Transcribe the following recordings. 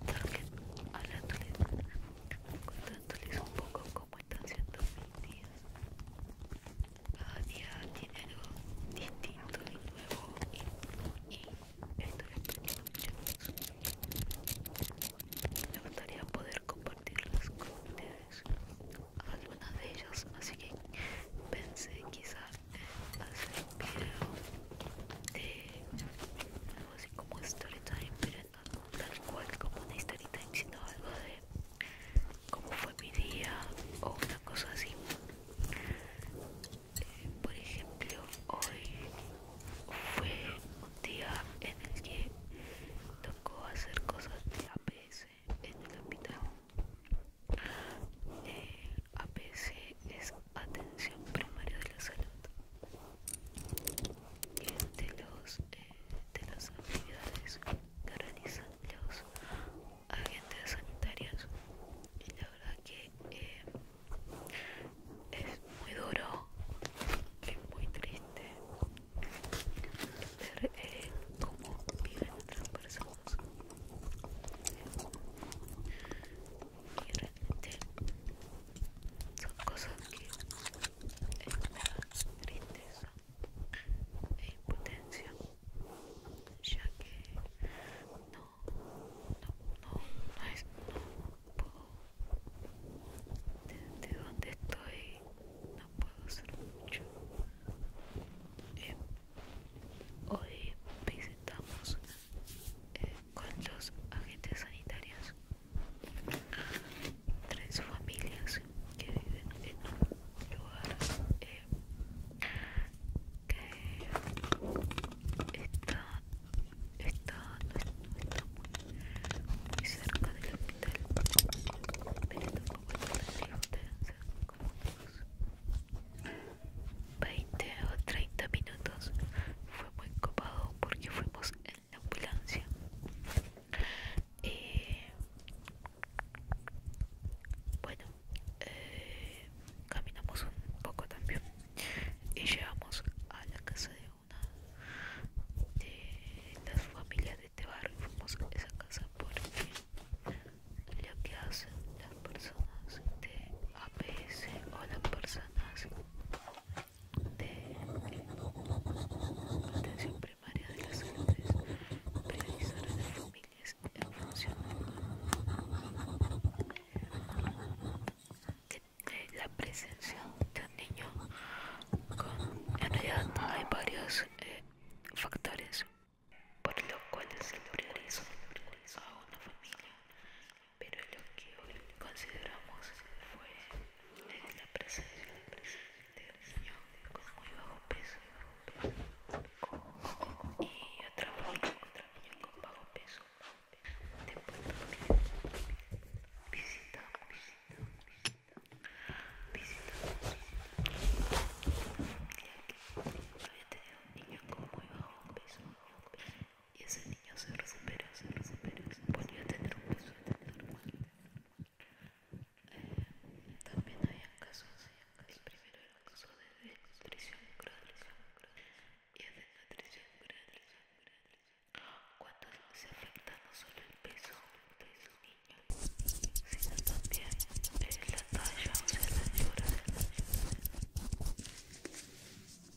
hablándoles, contándoles un poco cómo están siendo mis días. Cada día tiene algo distinto y nuevo y, esto mucho. Me gustaría poder compartirlas con ustedes, algunas de ellas, así que pensé quizás hacer un video de así como time pero no, tal cual como una time sino algo de cómo fue mi día o una cosa así. Eh, por ejemplo, hoy fue un día en el que tocó hacer cosas de APS en el hospital. Eh, APS es atención primaria de la salud y de, este, los, eh, de las actividades que realizan los agentes sanitarios y la verdad que eh, es muy duro es muy triste ver eh, cómo viven otras personas y realmente dos cosas que tristeza e impotencia ya que no, no, no, no, puedo de, donde estoy no puedo hacer mucho em, hoy visitamos eh, con los agentes sanitarios ah, tres familias que viven en un lugar eh, que está, está, no, muy, cerca del hospital pero tampoco es tan de como 20 o 30 minutos fue muy copado porque fuimos en la ambulancia y eh, bueno eh, caminamos un poco también y llegamos a la casa de una de las familias de este barrio fuimos a esa casa porque lo que hacen las personas de APS o las personas de atención primaria de las priorizar a las familias en función de la presencia de un niño con en realidad hay varios eh, factores por los cuales se prioriza a una familia pero lo que consideramos fue la presencia de un niño con muy bajo peso y otra con bajo peso visitamos, niño con bajo peso y ese niño se recuperó se recuperó, se volvió a tener un peso normal. Eh, también había casos, el primero era un caso de nutrición crónica y es nutrición crónica. Cuando se afecta no solo el peso de ese niño, sino también la talla, o sea, la altura.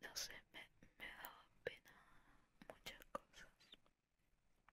no sé, me, ha dado pena muchas cosas.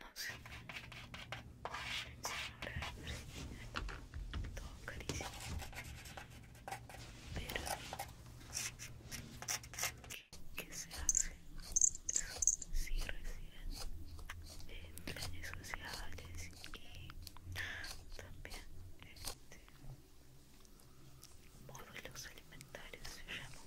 No sé. Señora todo carísimo. Pero que se hace si reciben eh, planes sociales y también este, módulos alimentarios se llaman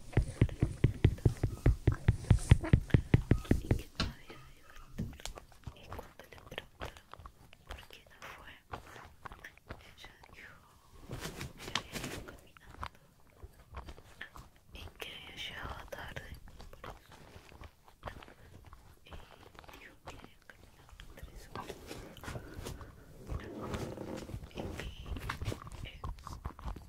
y que no había ido y cuando le preguntaron por qué no fue ella dijo que había ido caminando y que había llegado tarde por eso y dijo que había caminado tres horas y que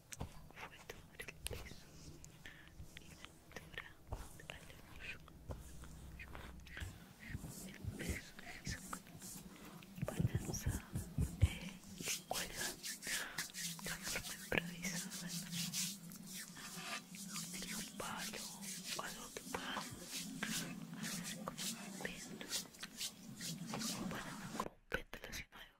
fue sobre el piso y la altura al hoyo. El peso hizo balanza eh, y cuerda de forma improvisada en un palo o algo que pueda hacer como un péndulo o bueno, no con un péndulo sino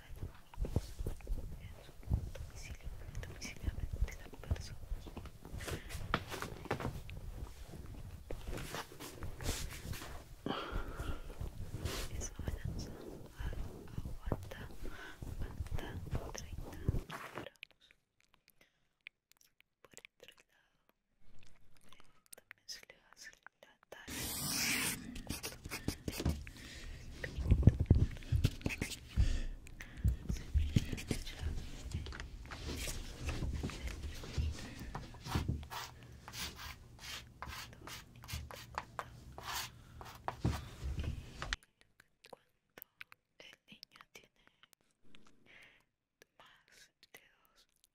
reserva en su domicilio domiciliable de la persona. aguanta, aguanta 30 Por otro lado, también la se el cuando el niño está cuando el niño tiene más de dos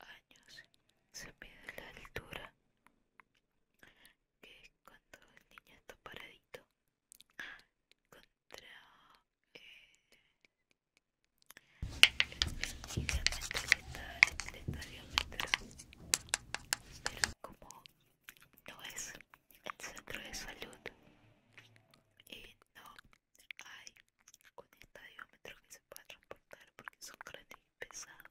años se mide la altura que cuando el niño está paradito contra estadiómetro pero como no es el centro de salud y no hay un estadiómetro que se pueda transportar porque son grandes y pesados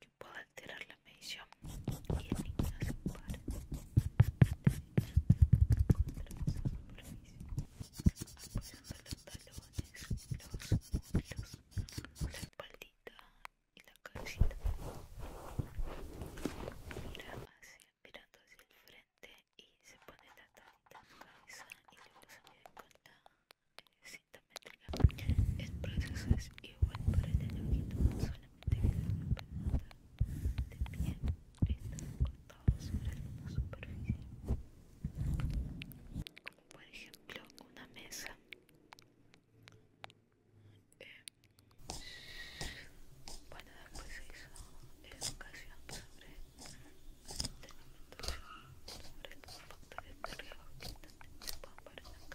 que pueda alterar la medición y el niño se para. Apoyando los talones, los muslos, la espaldita y la cabecita. Mira hacia, mirando hacia el frente y se pone la tapa en la cabeza y luego se mide con la meter cinta métrica. El proceso es igual para el elogio, de piel están cortados sobre alguna superficie, como por ejemplo una mesa. bueno, eh, después se hizo educación sobre alimentación, sobre los factores de riesgo que pueden aparecer en la casa.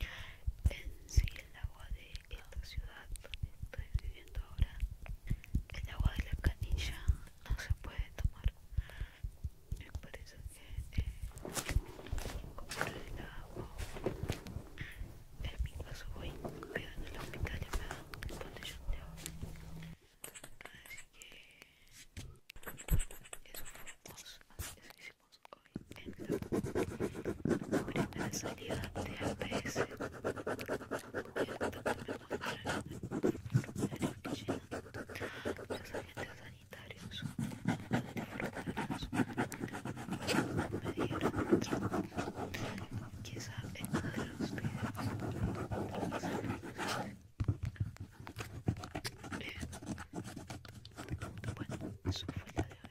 En sí, el agua de esta ciudad donde estoy viviendo ahora, el agua de la canilla no se puede tomar. por eso que eh, el agua. En mi caso voy, pido en el hospital y me dan el botellón de agua. Así que eso fue Así que si hoy en la pobreza salida de APS los agentes sanitarios me dijeron quizá en uno de los videos eh, bueno, eso fue la de hoy